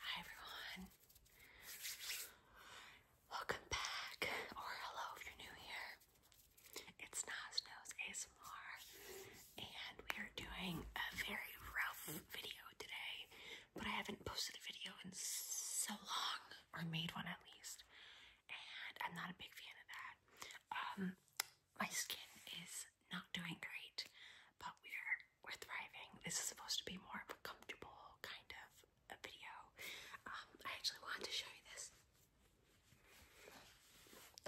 Hi everyone. Welcome back, or hello if you're new here. It's Nas Nose ASMR, and we are doing a very rough video today, but I haven't posted a video in so long, or made one at least, and I'm not a big fan of that. Um, my skin is not doing great, but we're we're thriving. This is supposed to be more of a comfortable kind of a video. Um, I actually wanted to show you this.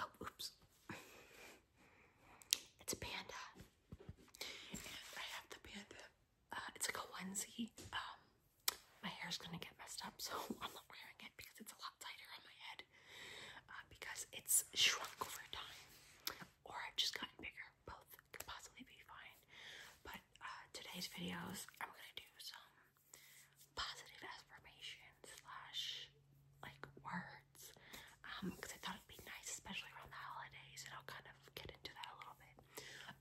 Oh, oops. It's a panda. And I have the panda. Uh, it's like a onesie. Um, my hair's gonna get messed up, so I'm not wearing it because it's a lot tighter on my head uh, because it's shrunk over time, or I've just gotten bigger. Both could possibly be fine. But uh, today's videos, I'm gonna do some positive affirmations slash like words because um, I thought it'd be nice, especially around the holidays, and I'll kind of get into that a little bit.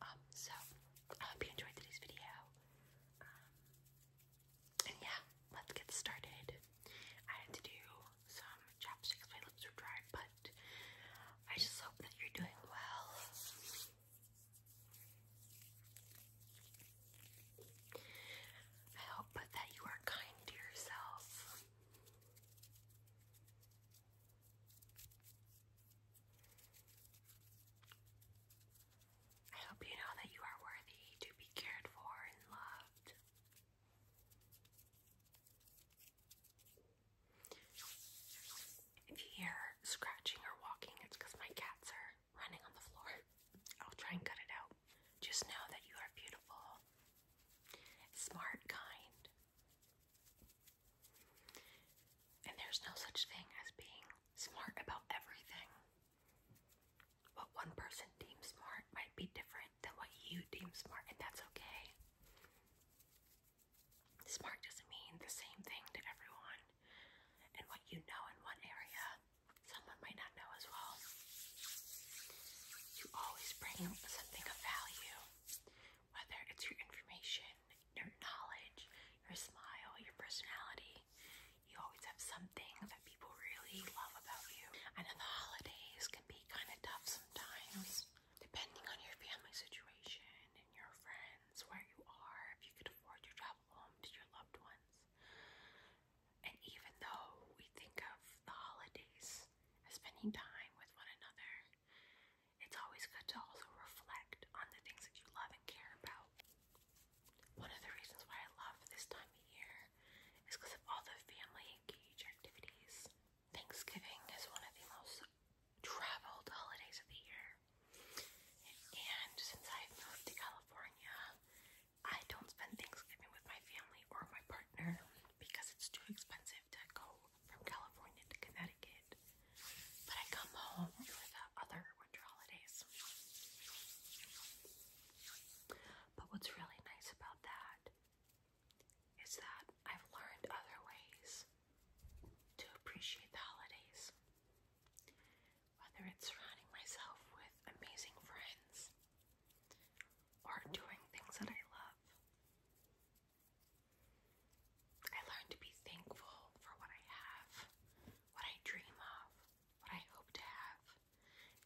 Um, so I hope you enjoyed today's video. Um, yeah, let's get started. I had to do some chapsticks, my lips were dry, but I just hope that you're doing well. I hope that you are kind to yourself. I hope you know that you are worthy to be cared for and loved. If you hear scratching or walking, it's because my cats are running on the floor. I'll try and cut it out. Just know that you are beautiful, smart, kind. And there's no such thing as being smart about everything. What one person deems smart might be different than what you deem smart, and that's okay. Smart doesn't mean the same thing to everyone, and what you know in one area, someone might not know as well. You always bring something of value, whether it's your information, your knowledge, your smile, your personality. You always have something that people really love about you. I know the holidays can be kind of tough sometimes, depending on your family situation and your friends, where you are, if you could afford to travel home to your loved ones. And even though we think of the holidays as spending time with one another, it's always good to also reflect on the things that you love and care about. One of the reasons why I love this time of year is because of all the family engaged activities. Thanksgiving is one of the most traveled holidays of the year. And since i moved to California, I don't spend Thanksgiving with my family or my partner because it's too expensive to go from California to Connecticut but I come home for the other winter holidays. But what's really nice about that is that I've learned other ways to appreciate the holidays. Whether it's surrounding myself with amazing friends or doing things that I love. I learned to be thankful for what I have, what I dream of, what I hope to have,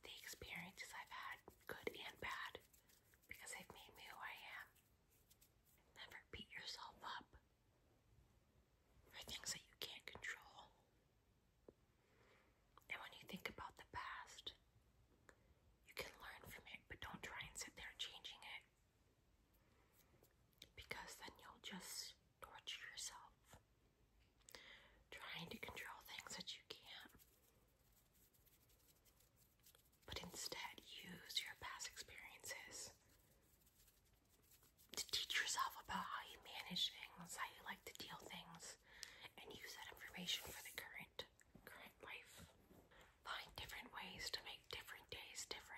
the experiences I've had, good and bad, because they've made me who I am. Never beat yourself up for things that you can't control. And when you think about the past, you can learn from it, but don't try and sit there changing it. Because then you'll just torture yourself trying to control things that you can't. But instead, use your past experiences to teach yourself about how you manage things, how you like to deal things, and use that information for the current current life. Find different ways to make different days different.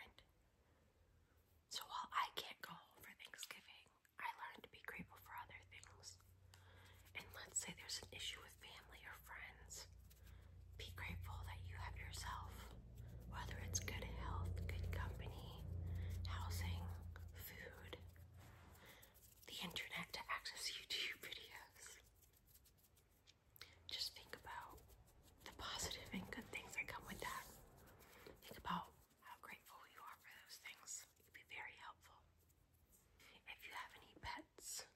So while I can't go home for Thanksgiving, I learned to be grateful for other things. And let's say there's an issue with family or friends. Be grateful that you have yourself, whether it's good health, good company, housing, food, the internet to access YouTube videos, just think about the positive and good things that come with that. Think about how grateful you are for those things. It would be very helpful. If you have any pets,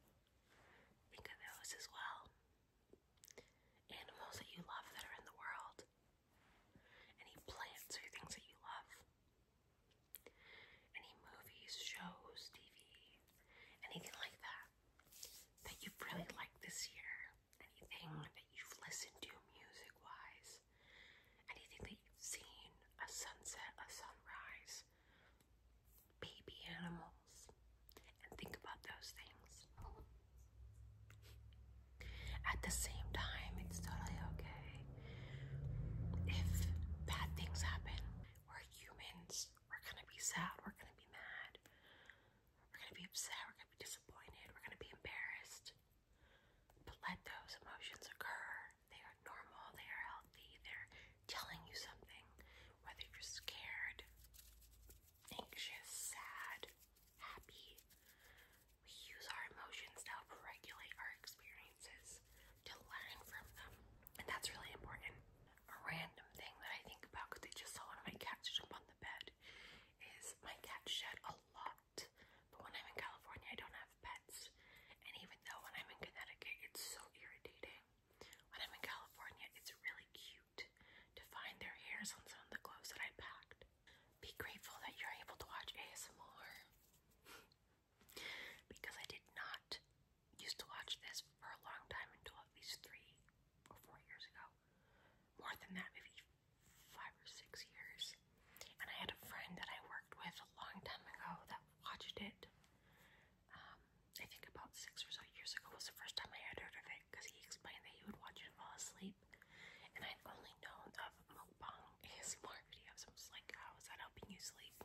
think of those as well. Animals that you love that are in the world. Any plants or things that you love. Any movies, shows, TV, anything like that that you've really liked this year anything that you've listened to music wise, anything that you've seen, a sunset, a sunrise, baby animals, and think about those things. At the same time, it's totally okay if bad things happen. We're humans, we're gonna be sad, we're gonna be mad. We're going to be upset. We're going to be disappointed. We're going to be embarrassed. But let those emotions occur. They are normal. They are healthy. They're telling you something. Whether you're scared, anxious, sad, happy. We use our emotions to help regulate our experiences, to learn from them. And that's really important a random thing that I think about because I just saw one of my cats jump on the bed is my cats shed a lot. But when I'm in California, I don't have pets. And even though when I'm in Connecticut, it's so irritating. When I'm in California, it's really cute to find their hairs on some of the clothes that I packed. Be grateful that you're able to watch ASMR because I did not used to watch this for a long time until at least three or four years ago. More than that, maybe five or six years. And I had a friend that I worked with a long time ago that watched it. Um, I think about six or so years ago was the first time I had heard of it because he explained that he would watch it fall asleep. And I'd only known of mukbang ASMR videos. I was like, how oh, is that helping you sleep?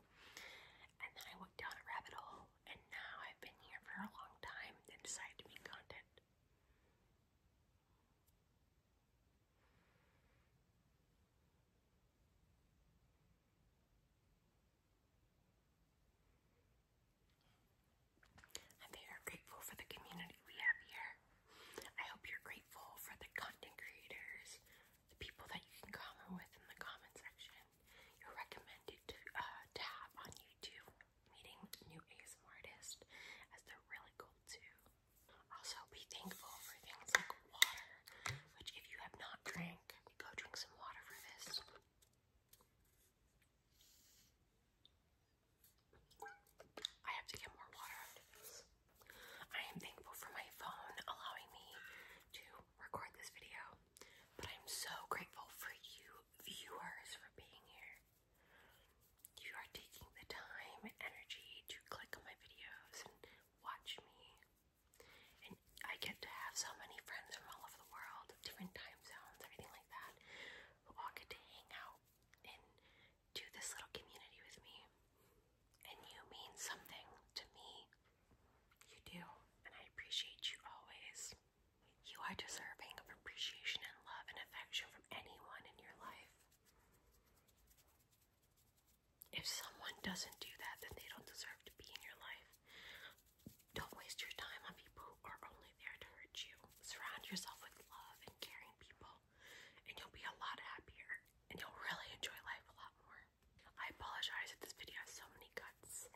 And then I went down a rabbit hole and now I've been here for a long time and decided to make content. I'm very grateful for the community we have here. I hope you're grateful for the content creators, the people that you can comment with in the comment section. You're recommended to uh, tab on YouTube, meeting new ASMR artists, as they're really cool too. Also, be thankful for things like water, which if you have not drank, go drink some water for this. I have to get more water I am thankful for my phone allowing me to record this video. But I'm so grateful for you viewers for being here. You are taking the time and energy to click on my videos and watch me. And I get to have so many friends from all over the world, different time zones, everything like that, who all get to hang out and do this little community with me. And you mean something to me. You do, and I appreciate you always. You are deserving of appreciation and love and affection from anyone in your life. If someone doesn't do that, then they don't deserve to be in your life. Don't waste your time on people who are only there to hurt you. Surround yourself with love and caring people, and you'll be a lot happier, and you'll really enjoy life a lot more. I apologize if this video has so many cuts.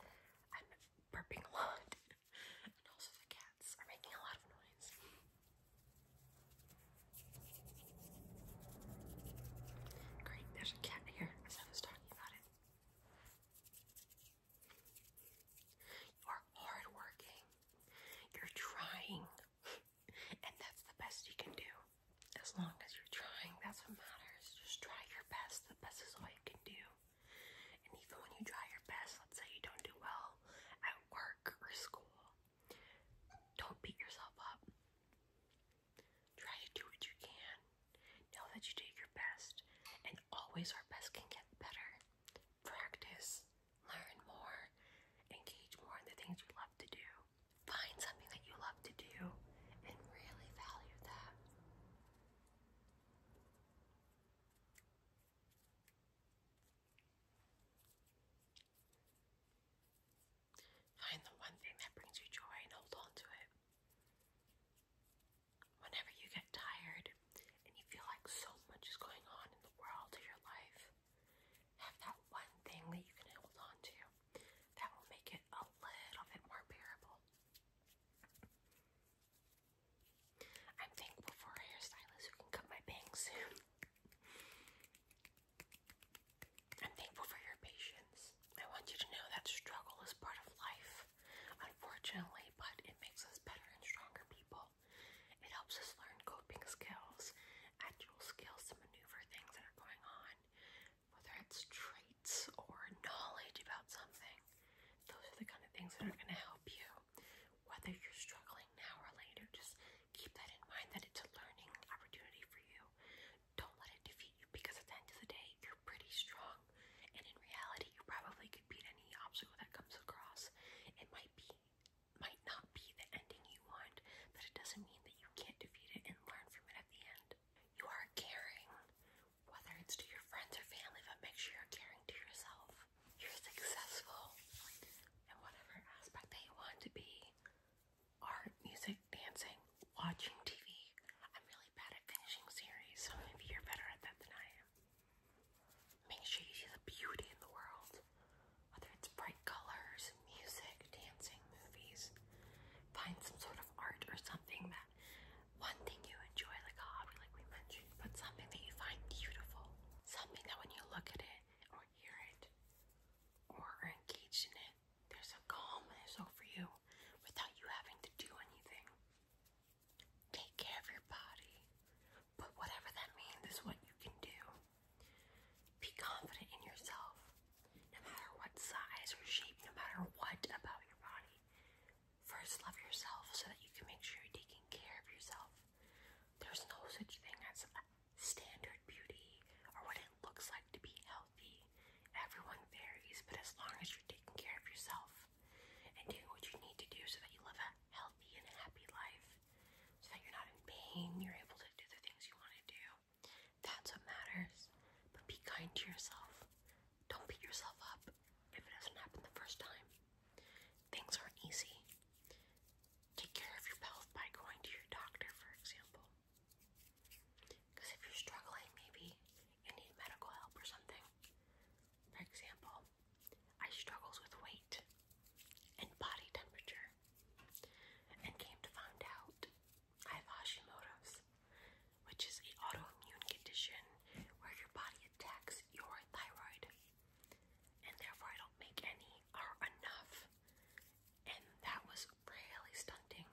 I'm burping a lot. and also the cats are making a lot of noise. Great, there's a cat here as I was talking about it. You are hardworking. You're trying. and that's the best you can do as long as you're trying, that's what matters. Just try your best. The best is all you can do. And even when you try your best, let's say you don't do well at work or school, don't beat yourself up. Try to do what you can. Know that you did your best, and always our best can get better. Practice, learn more, engage more in the things you love to do. Find something that you love to do and really value that. Find the one thing that brings you joy and hold on to it. Whenever you get tired and you feel like so much is going on in the world of your life, have that one thing that you can hold on to that will make it a little bit more bearable. I'm thankful for a hairstylist who can cut my bangs soon. I'm thankful for your patience. I want you to know that struggle is part of life, unfortunately, but it makes us better and stronger people. It helps us learn coping skills, actual skills to maneuver things that are going on, whether it's traits or knowledge about something. Those are the kind of things that are going to help you, whether you're struggling now or later. Just keep that in mind that it's a learning opportunity for you. Don't let it defeat you because at the end of the day, you're pretty strong, and in reality, you probably could beat any obstacle that comes across. It might be might not be the ending you want, but it doesn't mean that you can't defeat it and learn from it at the end. You are caring, whether it's to your friends or family, but make sure you're caring to yourself. You're successful in whatever aspect that you want to be art, music, dancing, watching TV. I'm really bad at finishing series, so maybe you're better at that than I am. Make sure you see the beauty in the world. Whether it's bright colors, music, dancing, movies, find some sort of art or something that one thing you enjoy, like a hobby, like we mentioned, but something that you find beautiful, something that when you look at it or hear it or are engaged in it, there's a calmness over you without you having to do anything. Take care of your body, but whatever that means is what you can do. Be confident in yourself, no matter what size or shape, no matter what about your body. First, love yourself so that you can make sure you're taking care of yourself. There's no such thing as standard beauty or what it looks like to be healthy. Everyone varies, but as long as you're taking care of yourself and doing what you need to do so that you live a healthy and happy life, so that you're not in pain, you're able to do the things you want to do. That's what matters. But be kind to yourself. Don't beat yourself up if it doesn't happen the first time. Things aren't easy. Take care of your health by going to your doctor, for example. Because if you're struggling, maybe you need medical help or something. For example, I struggle with weight and body temperature and came to find out I have Hashimoto's, which is an autoimmune condition where your body attacks your thyroid, and therefore I don't make any or enough. And that was really stunning.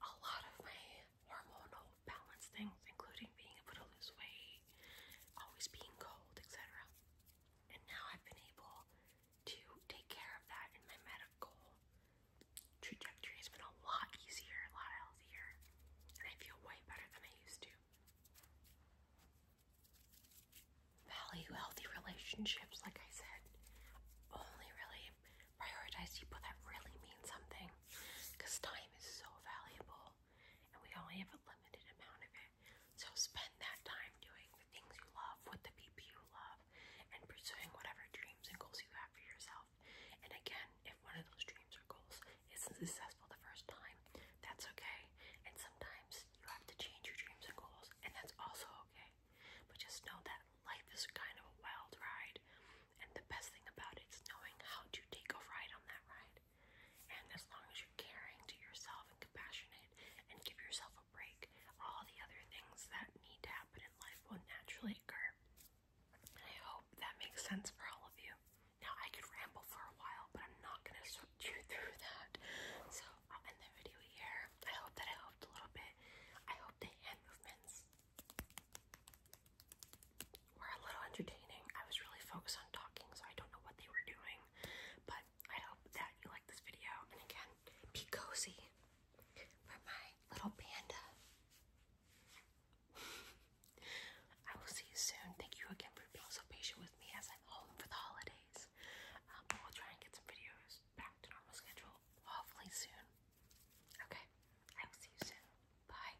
a lot of my hormonal balance things, including being able to lose weight, always being cold, etc. And now I've been able to take care of that in my medical trajectory. has been a lot easier, a lot healthier, and I feel way better than I used to. Value healthy relationships, like I said. Only really prioritize people that really mean something because time is so valuable and we only have a limited amount of it. So spend that time doing the things you love with the people you love and pursuing whatever dreams and goals you have for yourself. And again, if one of those dreams or goals isn't successful the first time, that's okay. And sometimes you have to change your dreams and goals, and that's also okay. But just know that life is kind of a wild ride, and the best thing about it is knowing how to take a ride on that ride and as long as you're caring to yourself and compassionate and give yourself a break, all the other things that need to happen in life will naturally occur. I hope that makes sense for all of you. Now, I could ramble for a while, but I'm not going to sort you through that. So, I'll end the video here. I hope that I helped a little bit. I hope the hand movements were a little entertaining. I was really focused on talking, so I don't know what they were doing. But I hope that you like this video. And again, be cozy for my little panda. I will see you soon. Thank you again for being so patient with me as I'm home for the holidays. Um, will try and get some videos back to normal schedule, hopefully soon. Okay, I will see you soon. Bye.